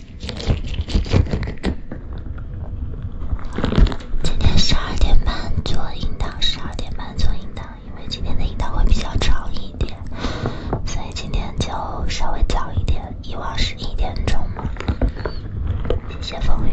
今天十二点半做樱桃，十二点半做樱桃，因为今天的樱桃会比较长一点，所以今天就稍微早一点。以往是一点钟嘛。谢谢风雨。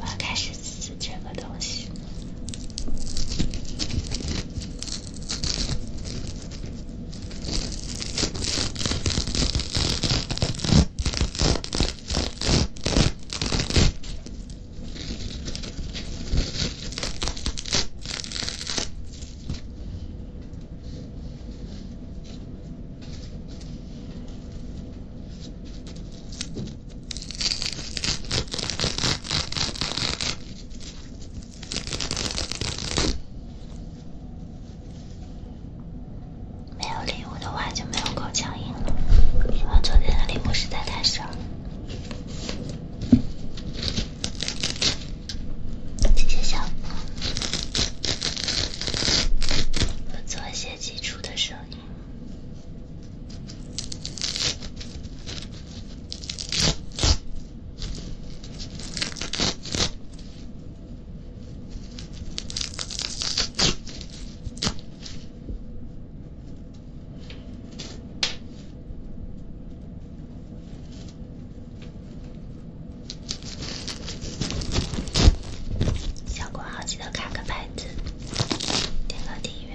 我要开始撕这个东西。没有礼物。我的话就没有口腔音了，因为昨天的礼物实在太少了，谢谢小做一些基础的声音。效果好，记得卡个牌子，点个订阅，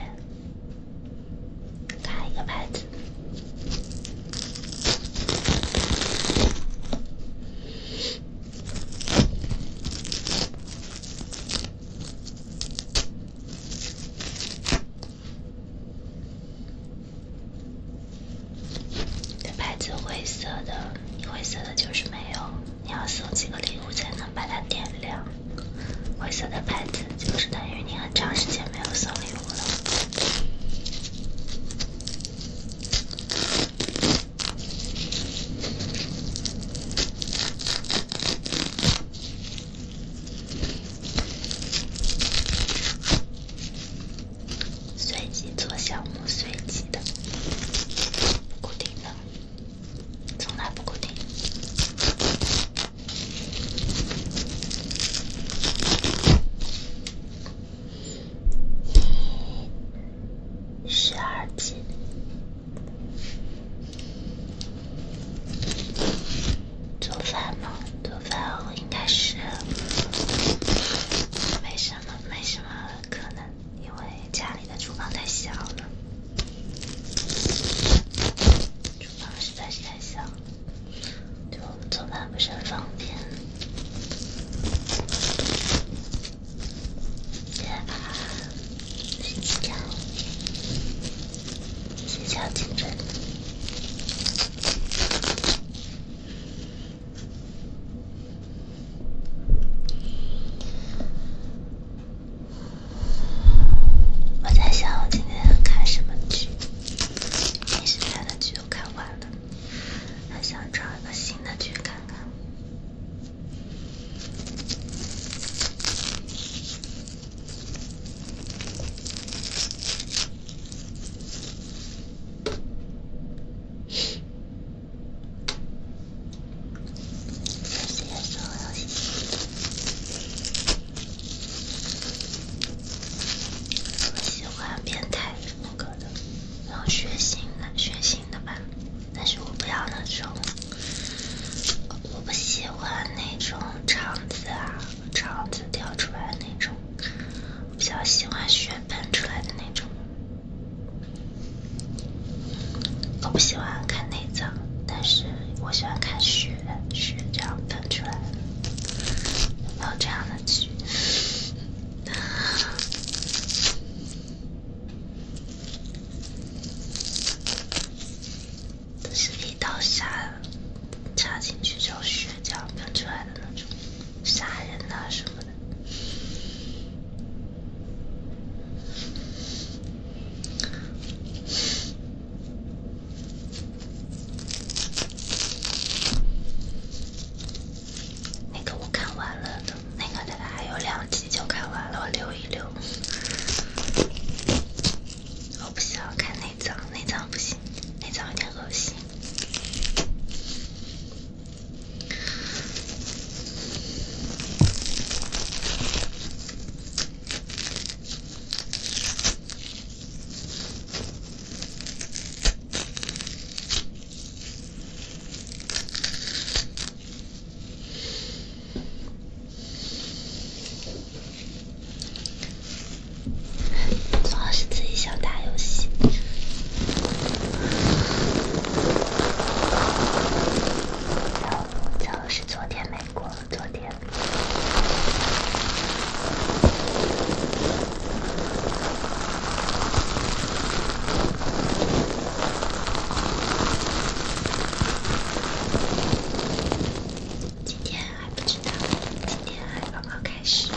卡一个牌子。牌子灰色的，灰色的就是没有。你要送几个礼物才能把它点亮？灰色的牌子就是等于你很长时间没有送礼物了。随机做项目，随机的，固定的，从来不固定。十二级。做饭吗？做饭应该是没什么，没什么可能，因为家里的厨房太小了，厨房实在是太小，就做饭不是很方便。别啊！睡觉，睡觉，精神。我在想，我今天看什么剧？平时看的剧都看完了，还想找一个新的剧看看。我喜欢变态风格的，然后血腥的、血腥的吧，但是我不要那种。我不喜欢那种肠子啊，肠子掉出来的那种，比较喜欢血喷出来的那种。我不喜欢看内脏，但是我喜欢看血，血这样喷出来，有这样的剧。是一刀杀，插进去之后血浆喷出来的那种杀人哪什么的。那个我看完了的，那个的还有两集就看完了，我溜一溜。我不喜欢看内脏，内脏不行，内脏有点恶心。主要是自己想打游戏，就是昨天没过，昨天。今天还不知道，今天还刚刚开始。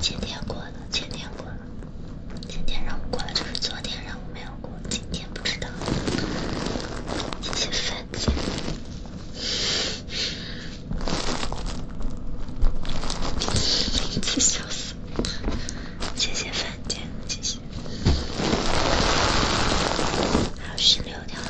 今天过了，前天过了，今天让我过了就是昨天让我没有过，今天不知道。谢谢番茄，谢谢番茄，谢谢。还有十六条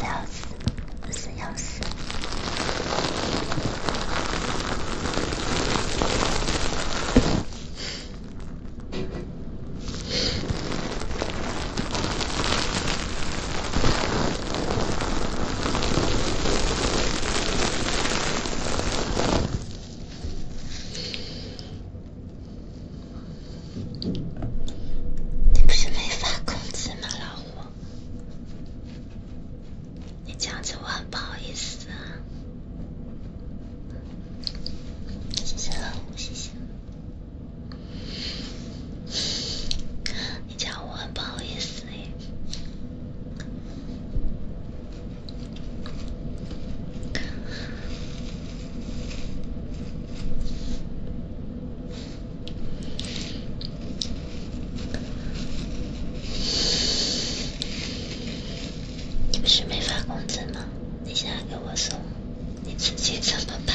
了，四幺四，你不是没发工资吗，老胡？你这样子我很不好意思啊，谢谢，了，谢谢，你叫我很不好意思耶。你不是没发工资吗？你现在给我送，你自己怎么办？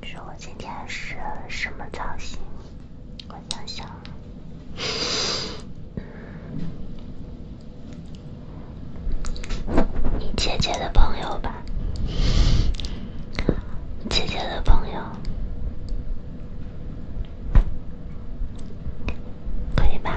你说我今天是什么造型？我想想。你姐姐的朋友吧，姐姐的朋友，可以吧？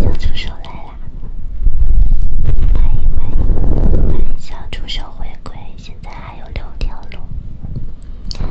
小助手来啦！欢迎欢迎欢迎小助手回归，现在还有六条路。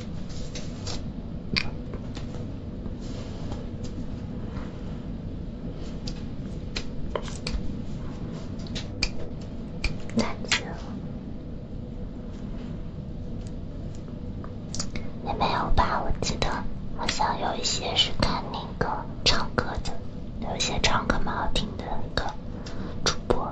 再也没有吧，我记得好像有一些是看那个唱歌的，有些唱歌蛮好听的个主播。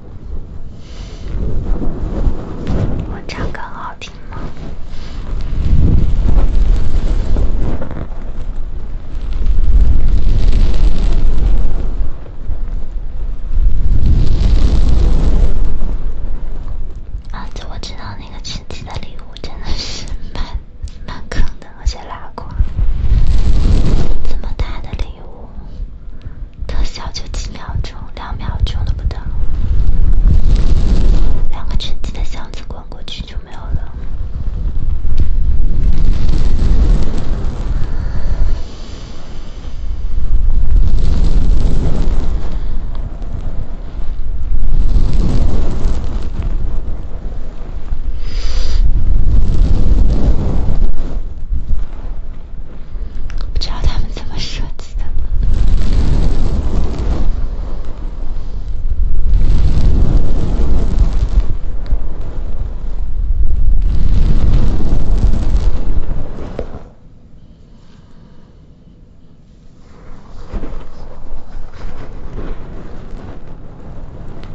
我唱歌好听吗？啊，这我知道，那个亲戚的礼物真的是蛮蛮坑的，而且拉垮，这么大的礼物。特效就几秒钟，两秒钟都不到，两个沉金的箱子滚过去就没有了。不知道他们怎么设计的。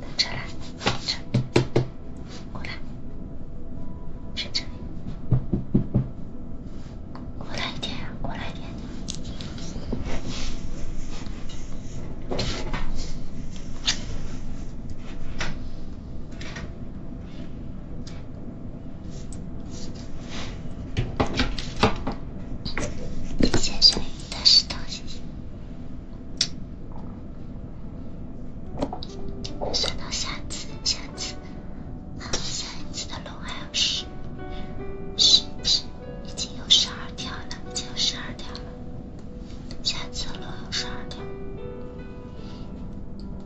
到这来，到这来，这过来，到这里，过来一点呀，过来一点。先生，大石头，谢谢。算到下次，下次，啊，下一次的龙还有十，十，已经有十二条了，已经有十二条了，下次龙有十二条。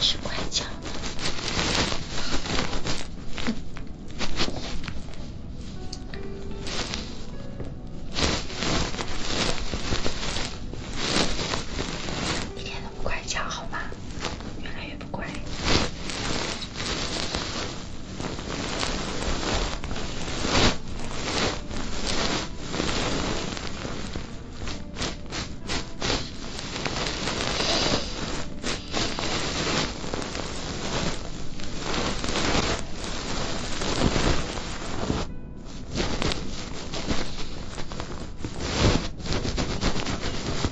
几十块钱，哼，一天。乖巧好吗？越来越不乖。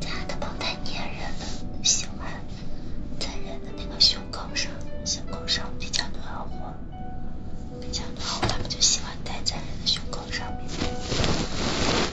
家的猫太粘人了，喜欢在人的那个胸口上，胸口上比较暖和，比较暖和，它们就喜欢待在人的胸口上面。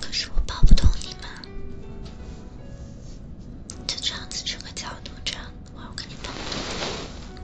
可是我抱不动你嘛，就这样子，这个角度，这样，我要跟你抱。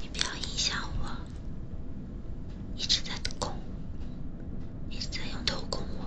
你不要影响我，一直在攻，一直在用头攻我。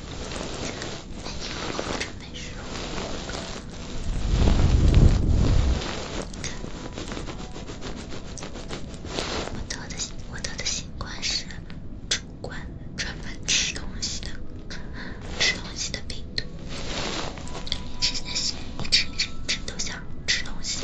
没有，真没事。我得的我得的新冠是主冠，专门吃东西的吃东西的病毒。一直在想，一直一直一直都想吃东西。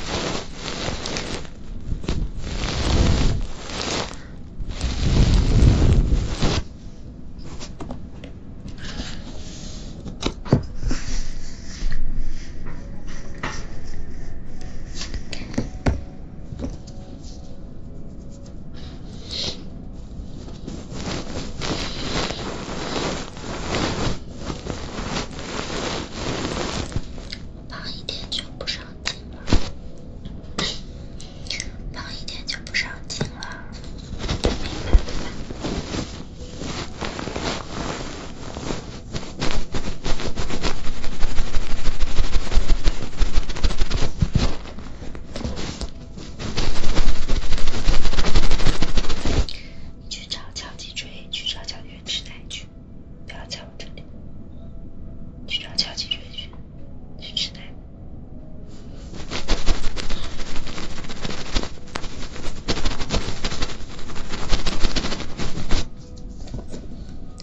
胖一点就不是很胖了。胖一点就不上镜了，你去找乔吉追去找乔元时去，不要在我这里。去找乔吉追去。去吃奶。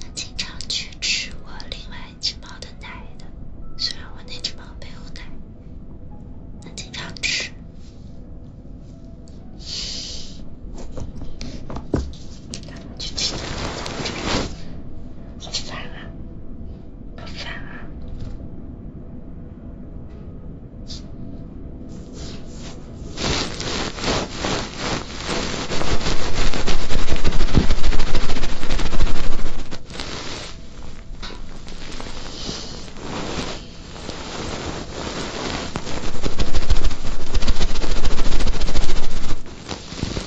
他经常去吃我另外一只猫的奶的，虽然我那只猫不用奶，他经常吃。咱们去吃饺子，好烦啊，好烦啊。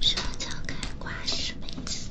什么叫开挂？什么意思？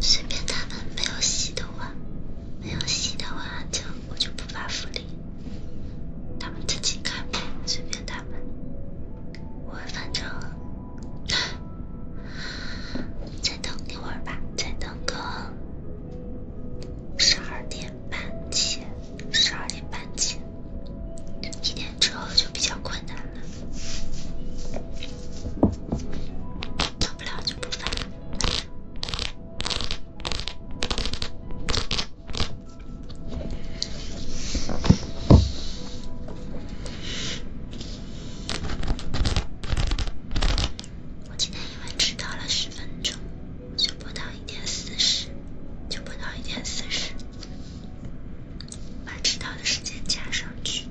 随便他们没有洗的话，没有洗的话就我就不发福利，他们自己看，随便他们。我反正再等一会吧，再等个十二点半前，十二点半前，一点之后就比较困难。做我今天因为迟到了十分钟，就播到一点四就播到一点四十，把迟到的时间加上去。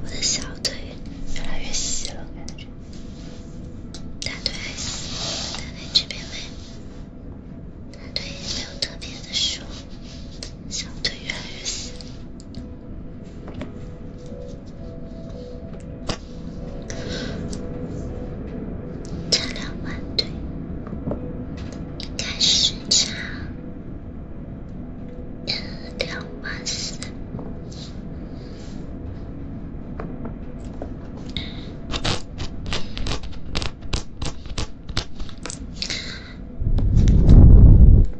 我的小腿越来越细了，感觉。大腿还行，大腿这边没，大腿没有特别的瘦，小腿越来越细。差两万对，应该是差两万四。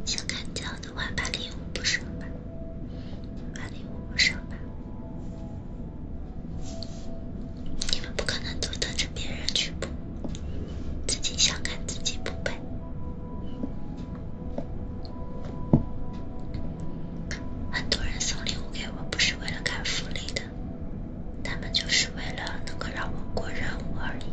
想开胶的话，把礼物补上吧，把礼物补上吧。你们不可能都等着别人去补，自己想干自己不干。很多人送礼物给我不是为了干福利的，他们就是为了能够让我过任务而已。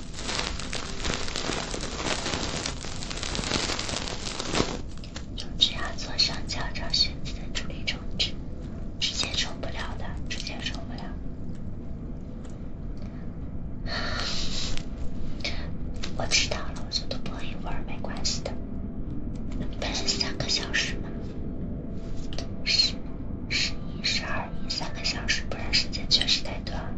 总之要左上角找选择的助力充值，直接充不了的，直接充不了。我知道了，我就多播一会儿没关系的。本来三个小时嘛，十、十一、十二、一三个小时，不然时间确实太短了。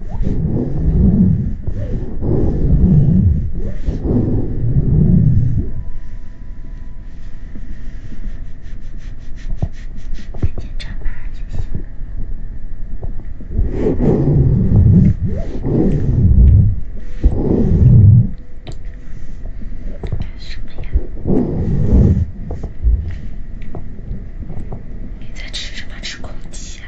眼睛眨巴就行。干什么呀？你在吃什么？吃空气啊？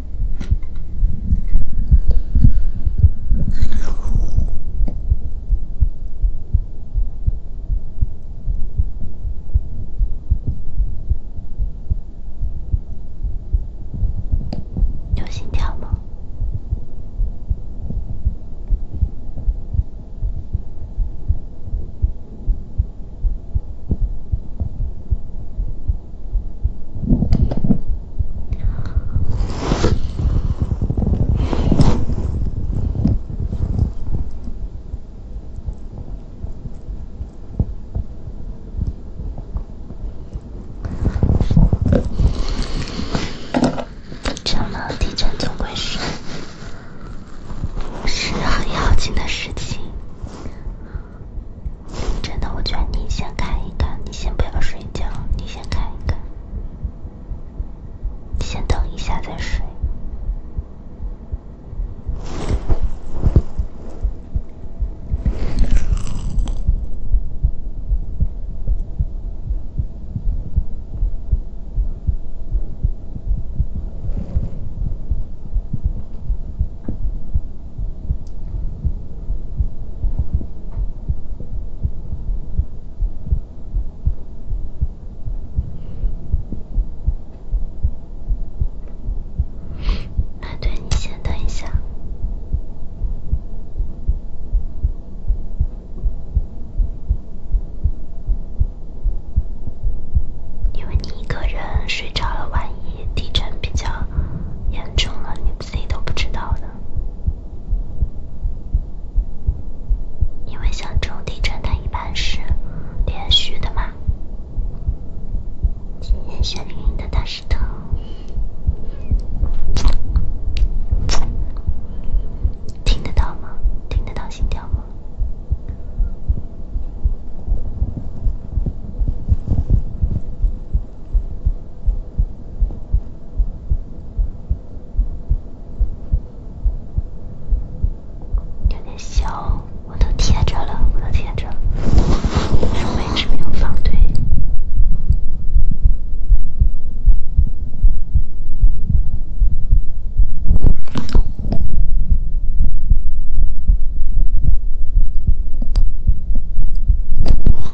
有心跳吗？真的，地震总归是是很要紧的事情。真的，我劝你先看一看，你先不要睡觉，你先看一看，先等一下再睡。那对你先等一下，因为你一个人睡着了，万一地震比较严重了，自己都不知道的，因为像这种地震，它一般是连续的嘛。今天雪淋淋的大石头，听得到吗？听得到心跳吗？有点小，我都贴着了，我都贴着了，没有放对。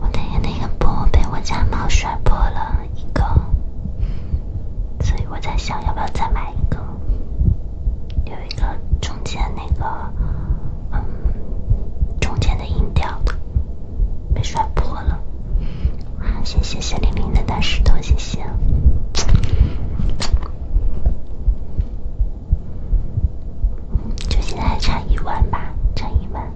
我那个那个波被我家猫摔破了一个，所以我在想，要不要再买一个？有一个中间那个，嗯，中间的音调。被摔破了，谢谢谢玲玲的大石头，谢谢。就现在还差一万吧，差一万。